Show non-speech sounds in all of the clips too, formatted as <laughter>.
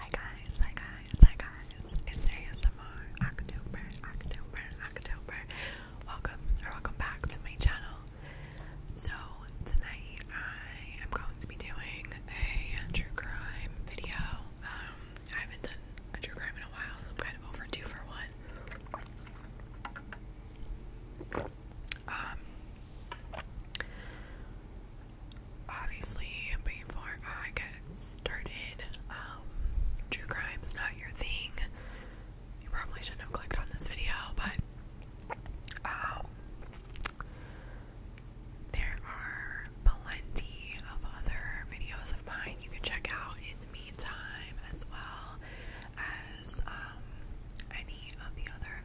Hi guys, hi guys, hi guys. It's ASMR October, October, October. Welcome or welcome back to my channel. So tonight I am going to be doing a true crime video. Um, I haven't done true crime in a while, so I'm kind of overdue for one. Um, obviously, before I get started, um, true crime's not your thing. You probably shouldn't have clicked on this video, but, um, there are plenty of other videos of mine you can check out in the meantime, as well as, um, any of the other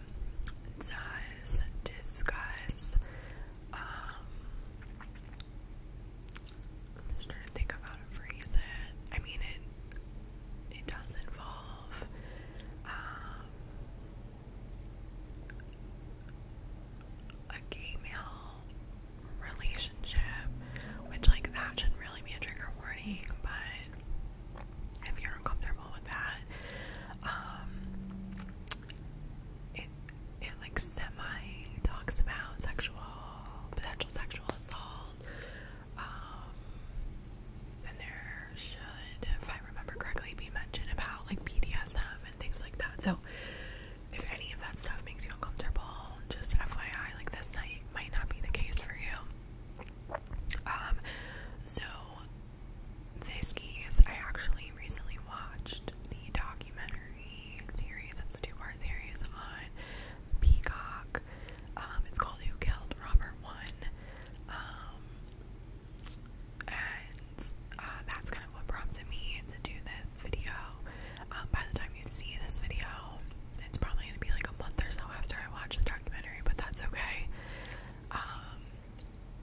does discuss um, I'm just trying to think of how to I mean it it does involve um, a gay male relationship, which like that should not really be a trigger warning, but if you're uncomfortable with that. Um, it it like semi talks about sexual potential sexual assault. Um, and there should, if I remember correctly, be mentioned about like BDSM and things like that. So if any of that stuff makes you uncomfortable, just FYI, like this night might not be the case for you. Um, so this skis. I actually recently watched the documentary series, it's a two part series on Peacock. Um, it's called Who Killed Robert One. Um, and uh, that's kind of what prompted me to do this video. Um, by the time you see this video, it's probably gonna be like a month or so after I watch the documentary, but that's okay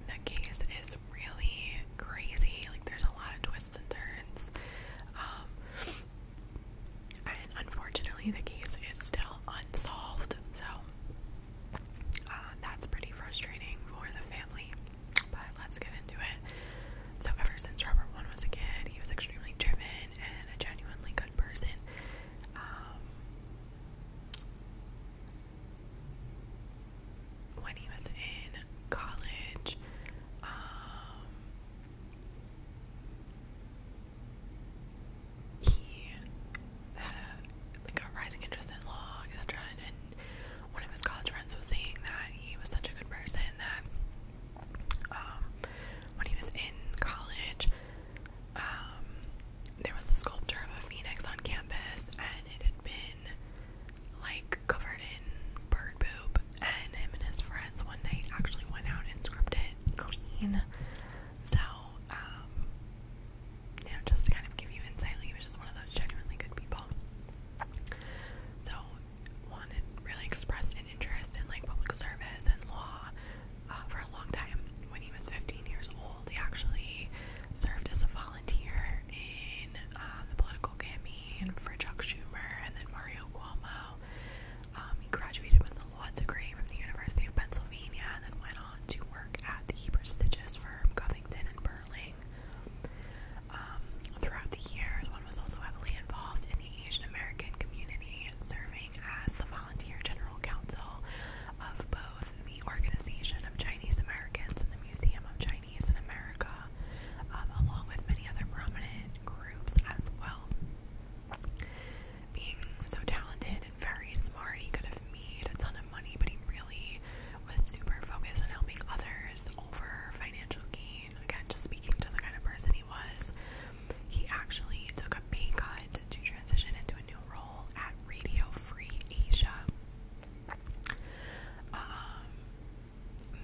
the case is really crazy. Like, there's a lot of twists and turns. Um, and unfortunately, the case is still unsolved. So, uh, that's pretty frustrating for the family. But let's get into it. So, ever since Robert One was a kid, he was extremely driven and a genuinely good person. Um, when he was in college. Um, he had a like a rising interest in law, etc. And, one of his college friends was saying that he was such a good person that um, when he was in college, um, there was a sculpture of a phoenix on campus, and it had been like covered in bird poop. And him and his friends one night actually went out and scrubbed it clean. So, um, you know, just to kind of give you insight, like, he was just one of those genuinely good people. So, wanted really expressed an interest in like public service and law, uh, for a long time. When he was 15 years old, he actually served as a volunteer in um, the political campaign for Chuck Schumer and then Mario Cuomo. Um, he graduated with a law degree from the University of Pennsylvania and then went on to work at the prestigious firm Covington and Burling. Um, throughout the years, one was also heavily involved in the Asian American community, serving as the volunteer general counsel of both of the Organization of Chinese Americans and the Museum of Chinese in America, um, along with many other prominent groups as well. Being so talented and very smart, he could have made a ton of money, but he really was super focused on helping others over financial gain. Again, just speaking to the kind of person he was, he actually took a pay cut to transition into a new role role at Radio Free Asia. Um,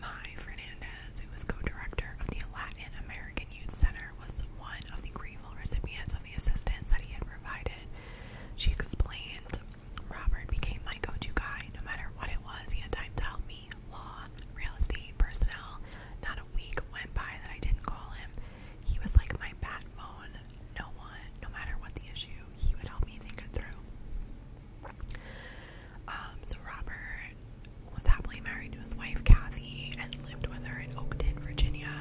Mai Fernandez, who was co-director of the Latin American Youth Center, was one of the grateful recipients of the assistance that he had provided. She explained, Robert became my go-to guy. No matter what it was, he had time to help me. Law, real estate, personnel. Not a week went by that I didn't call him. He was like my backbone, no one, no matter what the issue, he would help me think it through. Um, so Robert was happily married to his wife Kathy and lived with her in Oakton, Virginia.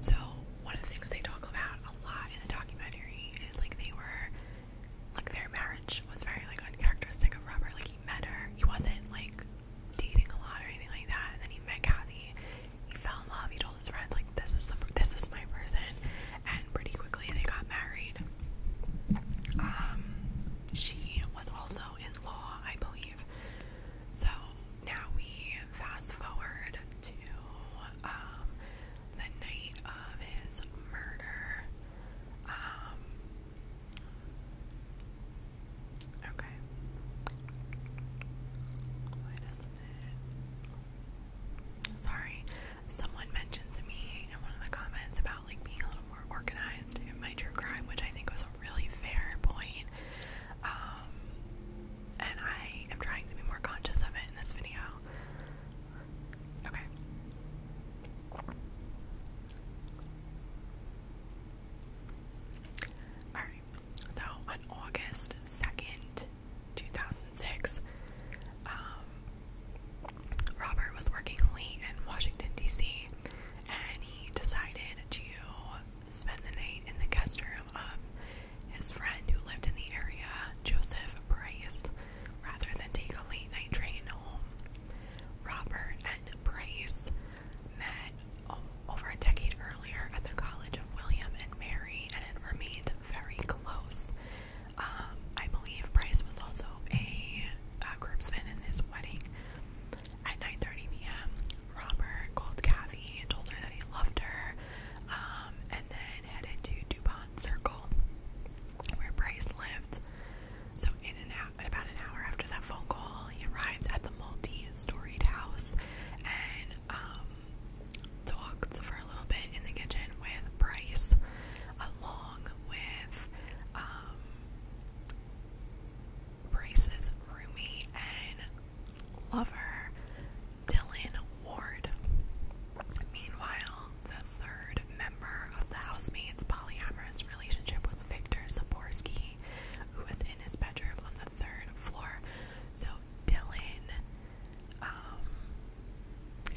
So one of the things they talk about a lot in the documentary is like they were like their marriage was very like uncharacteristic of Robert. Like he met her, he wasn't like dating a lot or anything like that, and then he met Kathy he fell in love. He told his friends like this is the this is my person, and pretty quickly they got married. Um, she was also in law, I believe. So now we fast forward to um, the night of his murder. Um. Okay. Sorry, someone mentioned to me in one of the comments about like being a little more organized in my true crime, which I think was a really fair point. Um, and I am trying to be more conscious of it in this video. Okay. Alright, so on August 2nd, 2006, um, Robert was working late in Washington, D.C., and he decided to spend the night in the guest room of his friend who lived in the area, Joseph Price, rather than take a late night train home. Robert and Price met over a decade earlier at the College of William and Mary, and it remained very close. Um, I believe Price was also a, a in this wedding. At 9:30 p.m., Robert called Kathy and told her that he loved her, um, and then headed to Dupont Circle, where Price lived. So, in an in about an hour after that phone call, he arrived at the multi-storied house, and um, talked for a little bit in the kitchen with Bryce, along with um, Bryce's roomie and lover, Dylan Ward. Meanwhile, the third member of the housemate's polyamorous relationship was Victor Zaborski, who was in his bedroom on the third floor. So Dylan, um,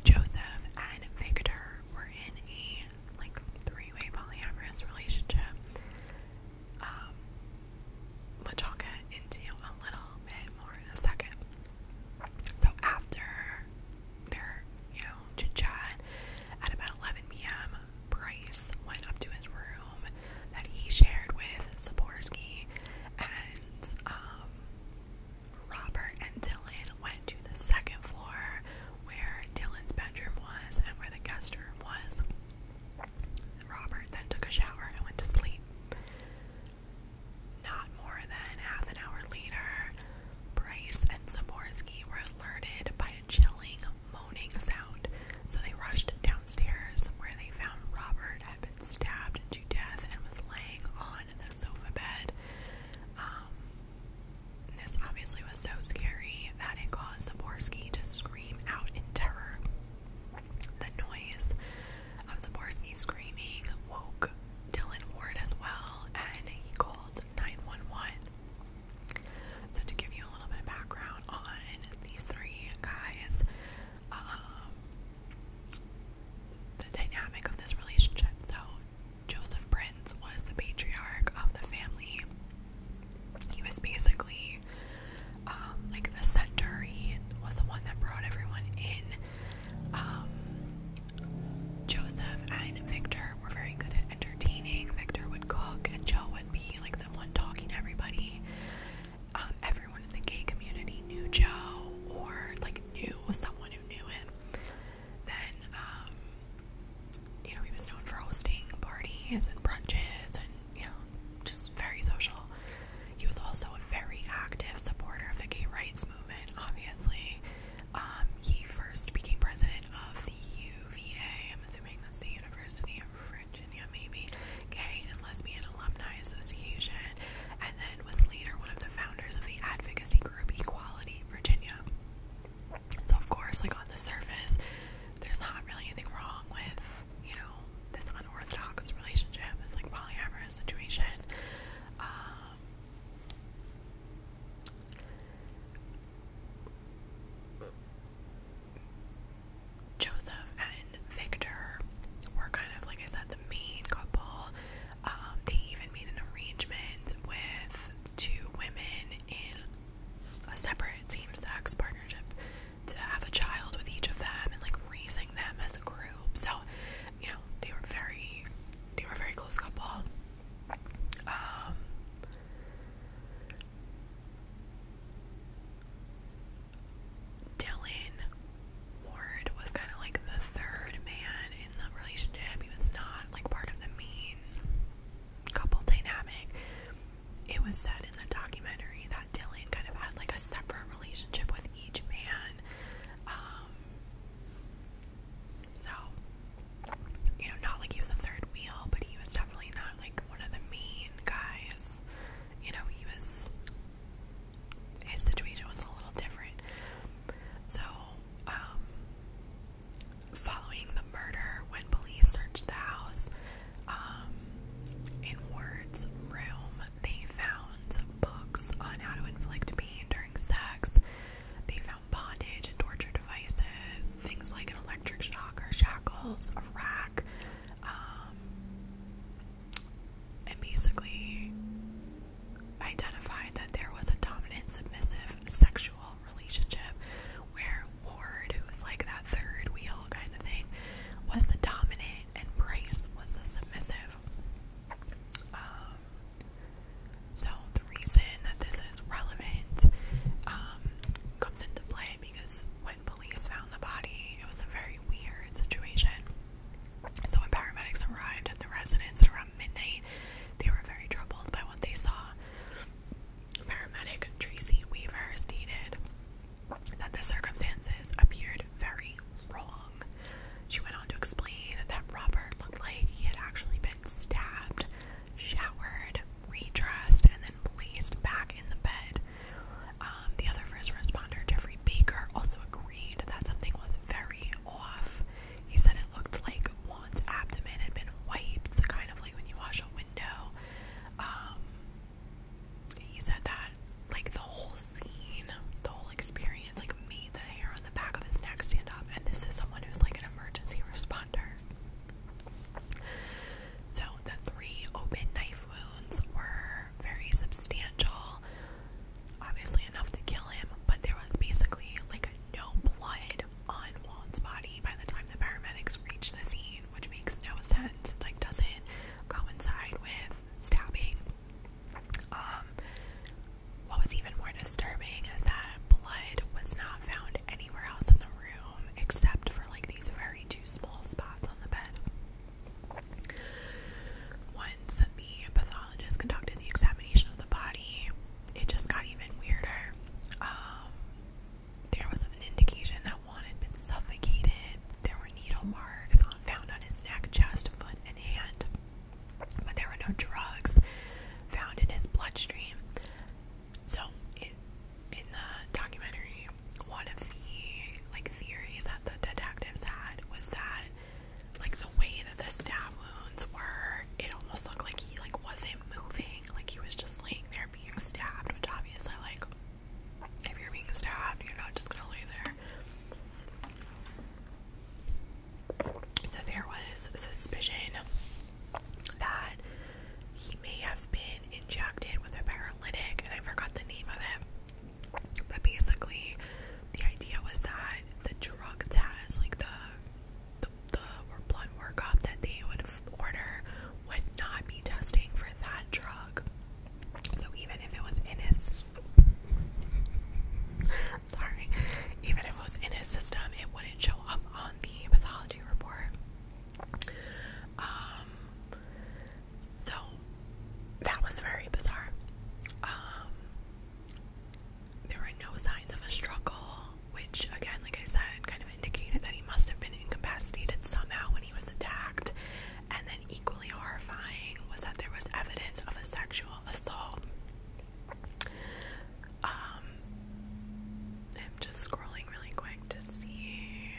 Joseph, and Victor were in a like three-way polyamorous relationship. Um, will get into a little bit more in a second. So after their, you know, chit at about 11 p.m., Bryce went up to his room room that he shared with Saporsky and um, Robert and Dylan went to the second floor where Dylan's bedroom was and where the guest room was. Robert then took a shower and went to sleep. Not more than half an hour later, Bryce and Saborsky were alerted by a chilling moaning sound, so they rushed downstairs where they found Robert had been been stabbed to death and was laying on the sofa bed. Um, this obviously was so scary that it caused Zaborski to scream out in terror. The noise of Zaborski screaming woke Dylan Ward as well, and he called 911. So, to give you a little bit of background on these three guys, um, the dynamic of this relationship. So, Joseph Prince was the patriarch of the family. He was basically um, like the center. He was the one that brought everyone in. Um, Joseph and Victor were very good at entertaining. Victor would cook, and Joe would be like the one talking to everybody um, everyone in the gay community knew Joe or like knew someone who knew him. Then, um, you know, he was known for hosting parties and brunches and, you know, just very social. He was also a very active supporter of the gay rights movement, obviously. Um, he first became president of the UVA, I'm assuming that's the University of Virginia, maybe, Gay and Lesbian Alumni Association, and then was later one of the founders of the advocacy group Equality Virginia. So, of course, like on the surface, there's not really anything wrong with, you know, this unorthodox relationship, this like polyamorous situation. Um, Joseph and Victor were kind of, like I said, the main couple. Um, they even made an arrangement with two women in a separate same sex partnership to have a child with each of them and like raising them as a group. So, you know, they were very, they were a very close couple. Um, Dylan Ward was kind of like the third man in the relationship. He was not like part of the main couple dynamic. It was said in the documentary that Dylan kind of had like a separate relationship with each man. Um, so, you know, not like he was a third wheel, but he was definitely not like one of the main guys. You know, he was his situation was a little different. So, um, following the murder, when police searched the house, um, in Ward's room, they found books on how to inflict pain during sex. They found bondage and torture devices, things like an electric shock or shackles, a rack, um, and basically identified that there was a dominant, submissive sexual relationship where Ward, who was like that third wheel kind of thing, was the dominant and Brace was the submissive. Um, so the reason that this is relevant um, comes into play because police found the body, it was a very weird situation. So when paramedics arrived at the residence around midnight, they were very troubled by what they saw. Paramedic Tracy Weaver stated that the circumstances appeared very wrong. She went on to explain that Robert looked like he had actually been stabbed, showered, redressed, and then placed back in the bed um, the other first responder, Jeffrey Baker, also agreed that something was very off. He said it looked like Juan's abdomen had been wiped, kind of like when you wash a window. Um, he said that, like, the whole scene, the whole experience, like, made the hair on the back of his neck stand up. And this is someone who's like an emergency <laughs> responder. So the three open knife wounds were very substantial, obviously enough to kill him, but there was basically like no blood on Walt's body by the time the paramedics reached the scene, which makes no sense. It like doesn't coincide with stabbing. Um what was even more disturbing is that blood was not found anywhere else in the room except for like these very two small spots on the bed. Once the pathologist conducted the examination of the body, it just got even weirder. Um, there was an indication that Juan had been suffocated. There were needle marks on, found on his neck, chest, foot, and hand, but there were no drugs found in his bloodstream. So, it, in the documentary, one of the like theories that the detectives had was that like the way that the stab wounds were, it almost looked like he like wasn't moving, like he was just laying there being stabbed, which obviously like if you're being stabbed, you're not just gonna lay there. So there was suspicion that he may have been injected with a paralytic, and I forgot the name of it. But basically, the idea was that the drug test, like the the, the or blood workup that they would order, would not be testing for that drug. So even if it was in his, sorry, even if it was in his system, it wouldn't show up on the pathology report. Um, so that was very bizarre. Um, there were no signs of a struggle, which, again, like I said, kind of indicated that he must have been incapacitated somehow when he was attacked. And then, equally horrifying, was that there was evidence of a sexual assault. Um, I'm just scrolling really quick to see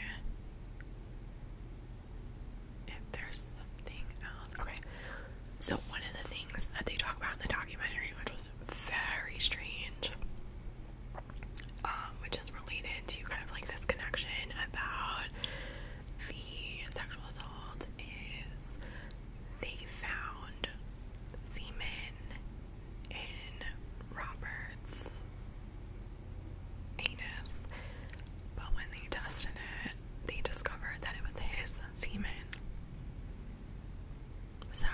if there's something else. Okay. So one of the things that they talk about in the documentary, which was very strange, um, which is related to kind of like this connection about the sexual assault, is they found semen in Robert's anus, but when they tested it, they discovered that it was his semen. So,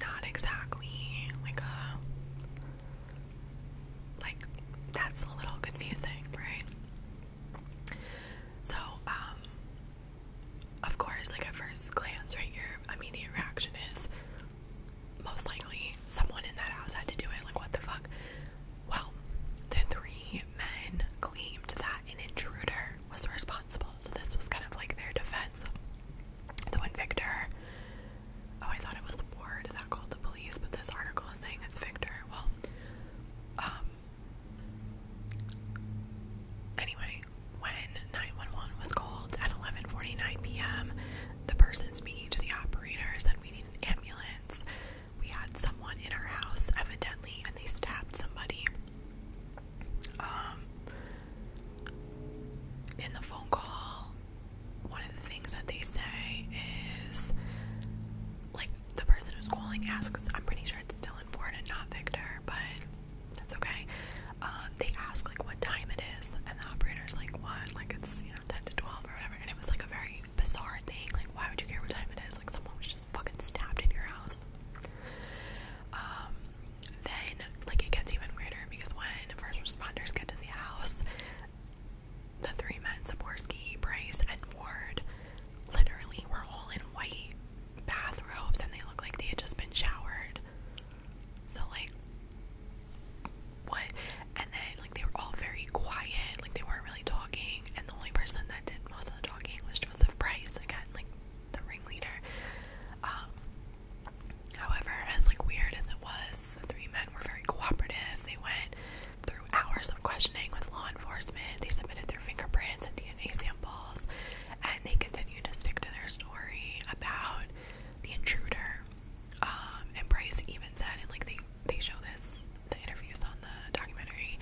not exactly like a like that's a little confusing, right? So, um, of course, like at first glance, right, your immediate reaction is most likely someone in that house had to do it. Like, what the fuck? Well, the three men claimed that an intruder was responsible. So, this was kind of like their defense. So, when Victor, oh, I thought it was Ward that called the police, but this article is saying it's Victor. Well, um, anyway, when 911 was called at 11:49 p.m., the person speaking to the operators said we need an ambulance. We had someone in our house, evidently, and they stabbed somebody. Um, in the phone call, one of the things that they say is like the person who's calling asks, I'm pretty sure it's still in Ford and not Victor, but that's okay. Um, they ask like what time it is, and the operator's like, What? Like it's you know 10 to 12 or whatever. And it was like a very bizarre thing. Like, why would you care what time it is? Like, someone was just fucking stabbed in your house. Um, then, like, it gets even weirder because when first responders get to the house, the three men, Saborski, Bryce, and Ward, literally were all in white bathrobes and they look like they had just been showered. So, like, what? And then like they were all very quiet, like they weren't really talking. And the only person that did most of the talking was Joseph Price again, like the ringleader. Um, however, as like weird as it was, the three men were very cooperative. They went through hours of questioning with law enforcement. They submitted their fingerprints and DNA samples, and they continued to stick to their story about the intruder. Um, and Bryce even said, and like they they show this the interviews on the documentary.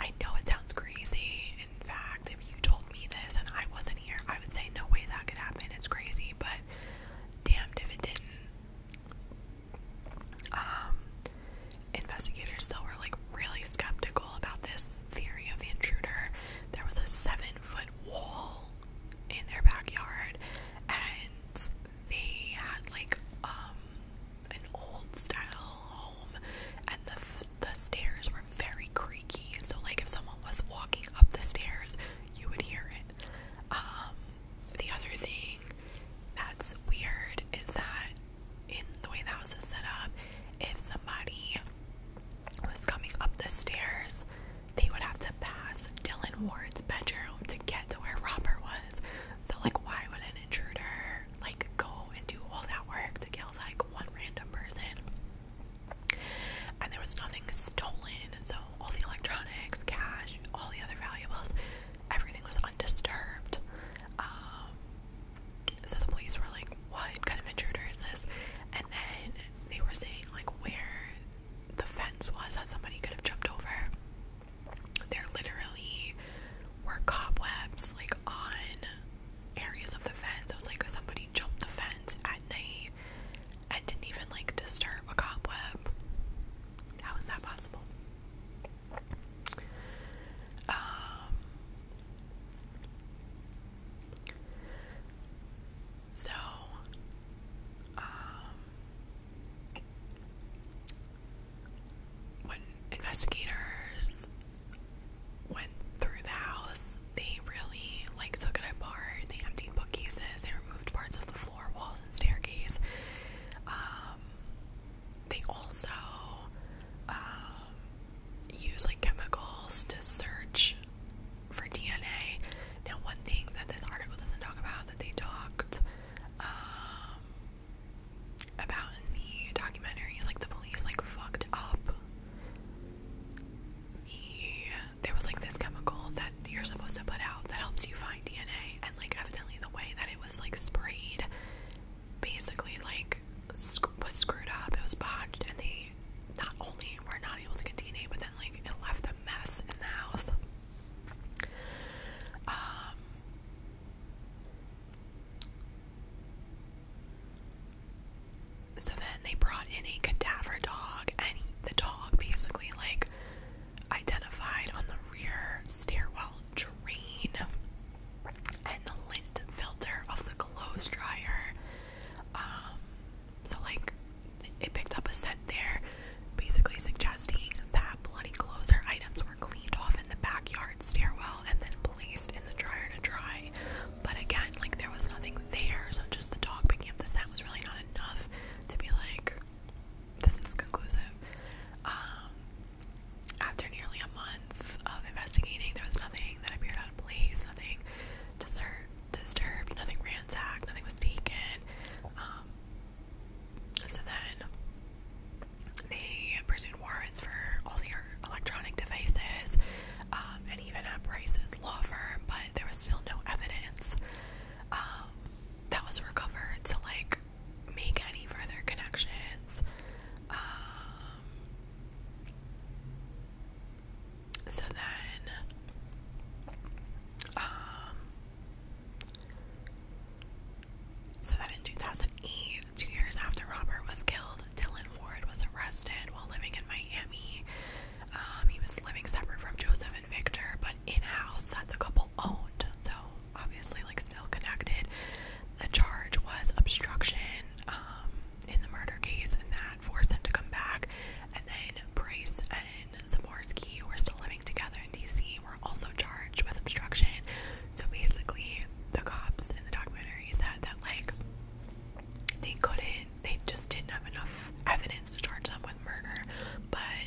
I know it sounds crazy. In fact, if you told me this and I wasn't here, I would say no way that could happen. It's crazy, but damned if it didn't. Um, investigators still were like really skeptical about this theory of the intruder. There was a seven foot wall in their backyard and they had like um an old style home and the f the stairs were very creaky so like if someone was walking up the stairs you would hear it um the other thing that's weird is that in the way the house is set up if somebody was coming up the stairs they would have to pass Dylan Ward's bedroom to get to where Robert was so like why would an intruder like go and do all that work to kill like one random person? And there was nothing stolen, so all the electronics, cash, all the other valuables, everything was undisturbed. Um so the police were like, What kind of intruder is this? And then they were saying like where the fence was that somebody could have jumped over there literally were cobwebs like on areas of the fence. It was like somebody jumped the fence at night and didn't even like disturb a cobweb. How is that possible? Um so um, when investigators went through the house, they really like took it apart. They emptied bookcases. They removed parts of the floor, walls, and staircase. Um, they also um, use like chemicals to search for DNA. Now, one thing that this article doesn't talk about that they talked um, about the documentary like the police like fucked up the there was like this chemical that you're supposed to put out that helps you find DNA and like evidently the way that it was like sprayed basically like was screwed up it was botched and they not only were not able to get DNA but then like it left a mess in the house um, so then they brought in a cadaver dog, and the dog basically like identified on the rear stairwell drain and the lint filter of the clothes dryer. Um, so like it picked up a scent there, basically suggesting that bloody clothes or items were cleaned off in the backyard stairwell and then placed in the dryer to dry. But again, like there was nothing there, so just the dog picking up the scent was really not enough to be like, this is conclusive. Um, after nearly a month of investigating, there was nothing that appeared out of place, nothing disturbed, nothing ransacked, nothing was taken. Um, so then they pursued warrants for all their electronic devices um, and even at Price's law firm, but there was still no evidence um, that was recovered to like make any further connections. Um, so then, so that in 2008, two years after Robert was killed, Dylan Ford was arrested while living in Miami. Um, he was living separate from Joseph and Victor, but in house that the couple owned, so obviously, like, still connected. The charge was obstruction um, in the murder case, and that forced him to come back. And then Bryce and Zamorsky, who were still living together in DC, were also charged with obstruction. So basically, the cops in the documentary said that, like, they couldn't, they just didn't have enough evidence to charge them with murder, but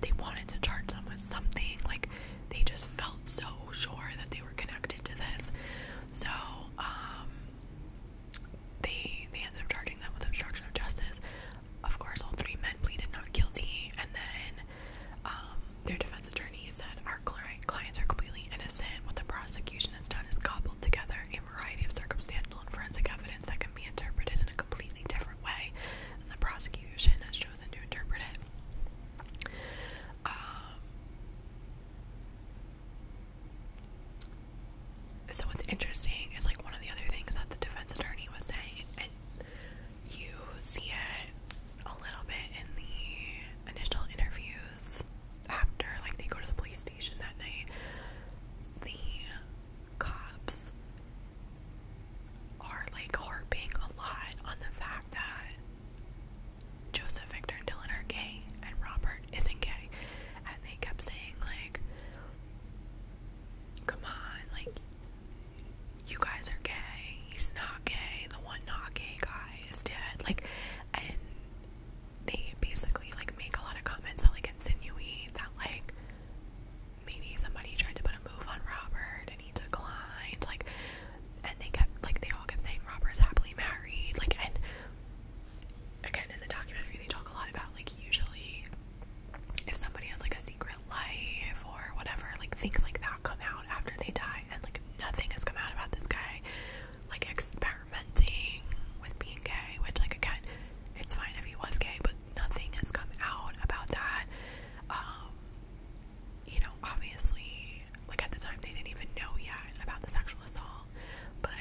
they wanted to charge them with something. Like, they just felt so sure that they were connected to this. So, um, they, they ended up charging them with obstruction of justice. Of course, all three men pleaded not guilty, and then um, their defense attorney said our clients are completely innocent. What the prosecution has done is cobbled together a variety of circumstantial and forensic evidence that can be interpreted in a completely different way, and the prosecution has chosen to interpret it. Um, so what's interesting is like one of the other things that the defense attorney was saying, and you see it a little bit in the initial interviews after, like, they go to the police station that night. The cops are like harping a lot on the fact that Joseph, Victor, and Dylan are gay, and Robert isn't gay. And they kept saying, like, come on, like, you guys are gay. He's not gay. The one not gay guy is dead. Like, and they basically like make a lot of comments that like insinuate that like maybe somebody tried to put a move on Robert and he declined. Like, and they kept like they all kept saying Robert is happily married. Like, and again in the documentary they talk a lot about like usually if somebody has like a secret life or whatever, like things like that come out after they die, and like nothing has come out about this guy, like experimenting with being gay, which like again, it's fine if he was gay, but nothing has come out about that. Um, you know, obviously, like at the time they didn't even know yet about the sexual assault, but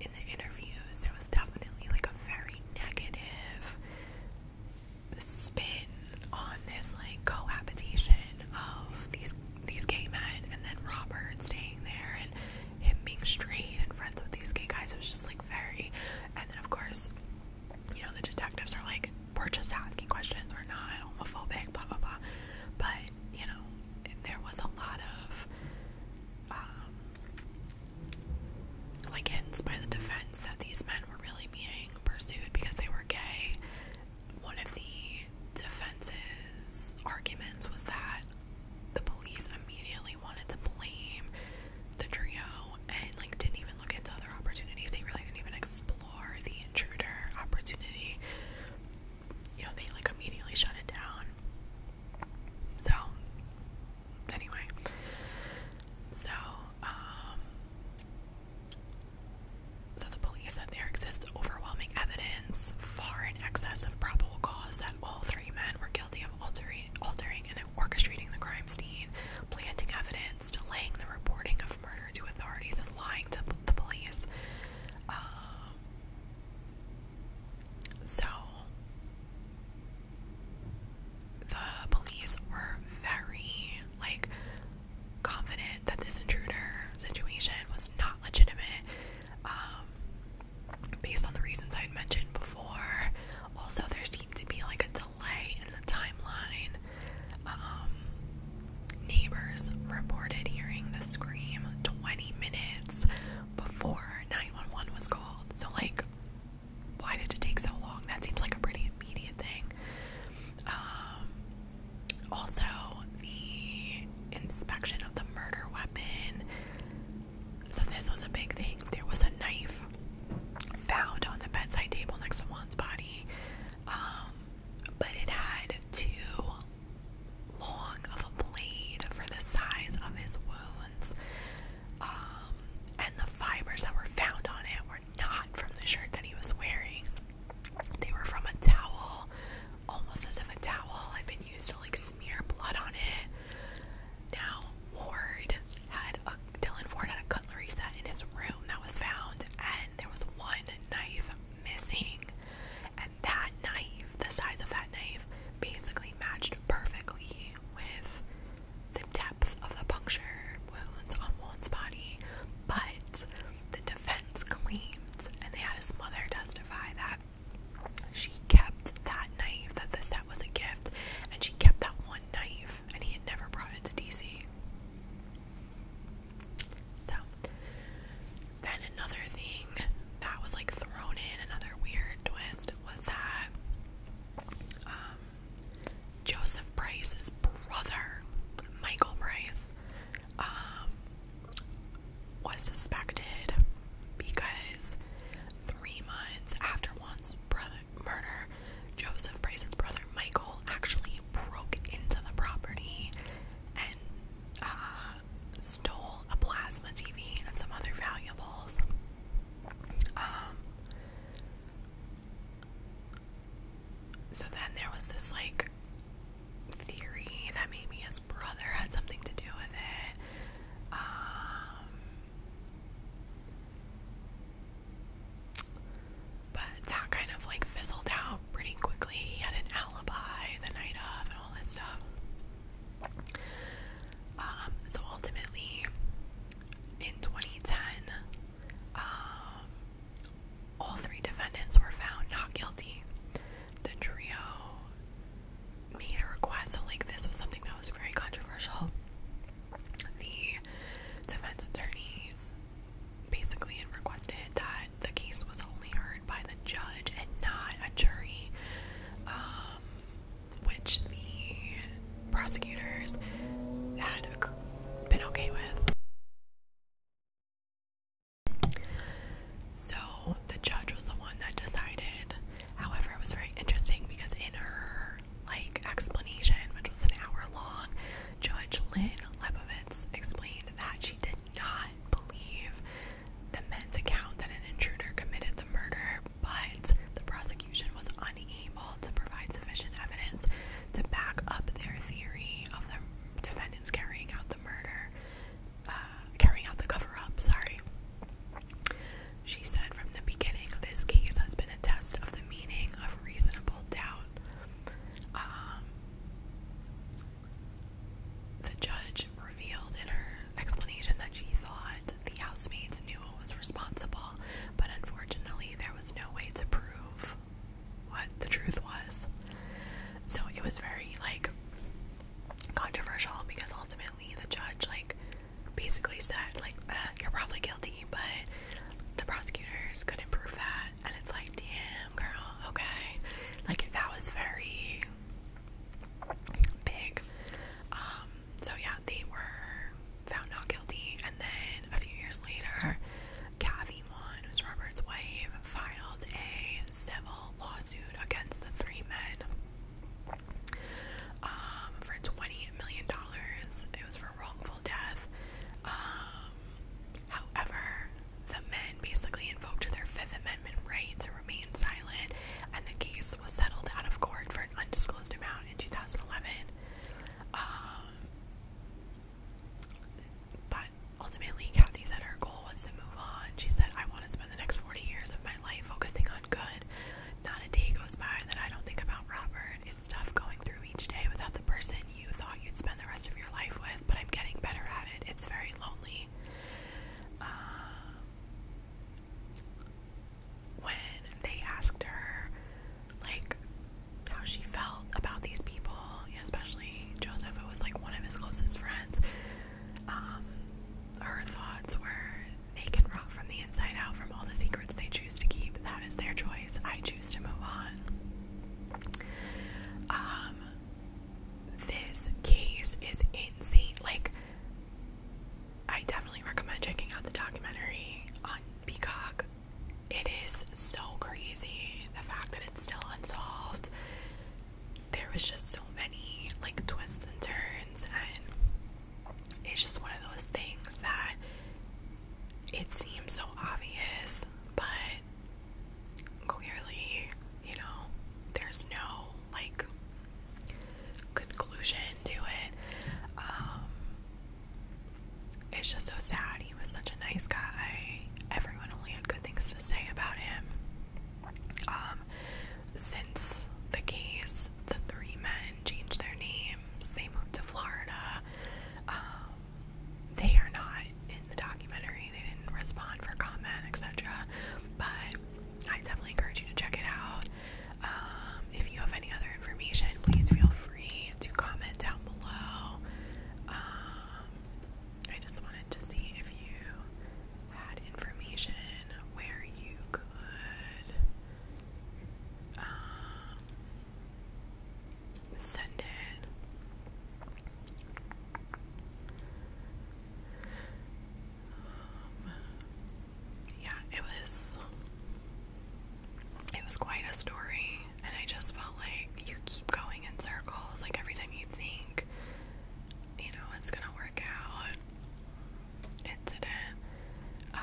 in the interviews there was definitely like a very negative spin on this like cohabitation of these these gay men and then Robert staying there and him being straight and friends with these gay guys. It was just like very and then of course, you know, the detectives are like, We're just asking questions, we're not homophobic, blah blah blah. But, you know, there was a lot of um, like hints by the defense that these men were really being pursued because they were gay. One of the defense's arguments was that the police immediately wanted to blame the trio and like didn't even look into other opportunities. They really didn't even explore the intruder opportunity. You know, they like immediately shut it down. So anyway. So, um, so the police said there exists overwhelming evidence, far in excess of probable cause, that all three men were guilty of altering, altering and orchestrating the crime scene, planting evidence, delaying the reporting of murder to authorities, and lying to the police. Um, so the police were very like confident that this intruder situation was not legitimate um, based on the reasons I had mentioned before. Also, there seemed to be like a delay in the timeline. Um, neighbors reported hearing the scream 20 minutes before 911 was called. So, like, why did it take so long? That seems like a pretty immediate thing. Um, also, the inspection of the murder weapon. So, this was a big thing. There was a knife found on the bedside table next to Juan's body, um, but it had too long of a blade for the size of his wounds. Um, and the fibers that were found on it were not from the shirt that he was wearing. They were from a towel, almost as if a towel had been used to like smear blood on it. Now Ward had a Dylan Ford had a cutlery set in his room that was found, and there was one knife missing. And that knife, the size of that knife, basically matched perfectly with the depth of the puncture wounds on Won's body, but the defense claims, and they had his mother testify that she kept that knife, that the set was a gift, and she kept that one knife, and he had never brought it to DC. So, then another thing that was like thrown in, another weird twist was that um, Joseph Price's brother, Michael Price, um, was suspected because three months after Juan's brother murder, Joseph Price's brother Michael actually broke into the property and uh, stole a plasma TV and some other valuables. Um, so then there was this like theory that maybe his brother had something to do with it. Um, but that kind of like fizzled out pretty quickly. He had an alibi the night of and all this stuff. Um, so ultimately, in 2010, um, all three defendants were found not guilty. The trio made a request, so like this was something that was very controversial. The defense attorneys basically requested that the case was only heard by the judge and not a jury. Um, which the prosecutors had been okay with. So the judge was the one that decided. However, it was very interesting because in her like explanation, which was an hour long, Judge Lynn Lebovitz explained that she did not believe the men's account that an intruder committed the murder, but the prosecutor was unable to provide sufficient evidence to back up their theory of the defendants carrying out the murder, uh, carrying out the cover up, sorry. She said from the beginning, this case has been a test of the meaning of reasonable doubt. Um, the judge revealed in her explanation that she thought the housemates knew who was responsible, but unfortunately, there was no way to prove what the truth was. So it was very like controversial because ultimately the judge like basically said like uh, you're probably guilty, but the prosecutors couldn't prove that, and it's like damn girl, okay, like that was very big. Um, so yeah, they were found not guilty, and then a few years later, Kathy Wan, who's Robert's wife, filed a civil lawsuit against the three men um, for twenty million dollars. It was for wrongful death. Um, however, the men basically invoked their Fifth Amendment right to remain silent, and the case was settled out of court for an undisclosed amount in 2011. Um, but ultimately, Kathy said her goal was to move on. She said, I want to spend the next 40 years of my life focusing on good. Not a day goes by that I don't think about Robert. It's tough going through each day without the person you thought you'd spend the rest of your life with, but I'm getting better at it. It's very lonely. Um, when they asked her, like, how she felt about these people, especially Joseph, who was like one of his closest friends, um, her thoughts were they can rot from the inside out from all the secrets they choose to keep. That is their choice. I choose to move on. Um, this case is insane. Like, I definitely recommend checking out the documentary on Peacock. It is so crazy the fact that it's still unsolved. There was just so many like twists and turns, and it's just one of those things that it seems so obvious, but clearly, you know, there's no like conclusion to it. Um, it's just so sad. He was such a nice guy. Everyone only had good things to say about him. Um, since the case, the three men changed their names. They moved to Florida. Um, they are not in the documentary. They didn't respond for comment, etc. But I definitely encourage you to check it out. Um, if you have any other information, please feel free to comment down below. Um, I just wanted to see if you had information where you could um, send it yeah, it was it was quite a story, and I just felt like you keep going in circles. Like every time you think, you know, it's gonna work out, it didn't. Um,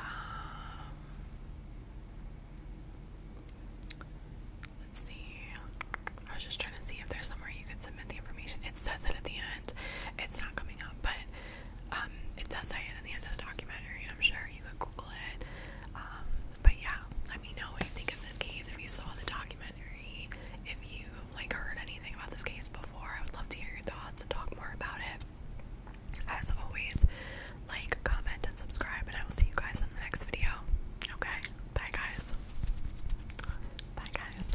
let's see. I was just trying to see if there's somewhere you could submit the information. It says it at the end. It's not coming up, but it does say it at the end of the documentary, I'm sure you could Google it. Um, but yeah, let me know what you think of this case. If you saw the documentary, if you like heard anything about this case before, I would love to hear your thoughts and talk more about it. As always, like, comment, and subscribe, and I will see you guys in the next video. Okay, bye guys. Bye guys.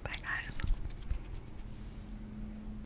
Bye guys.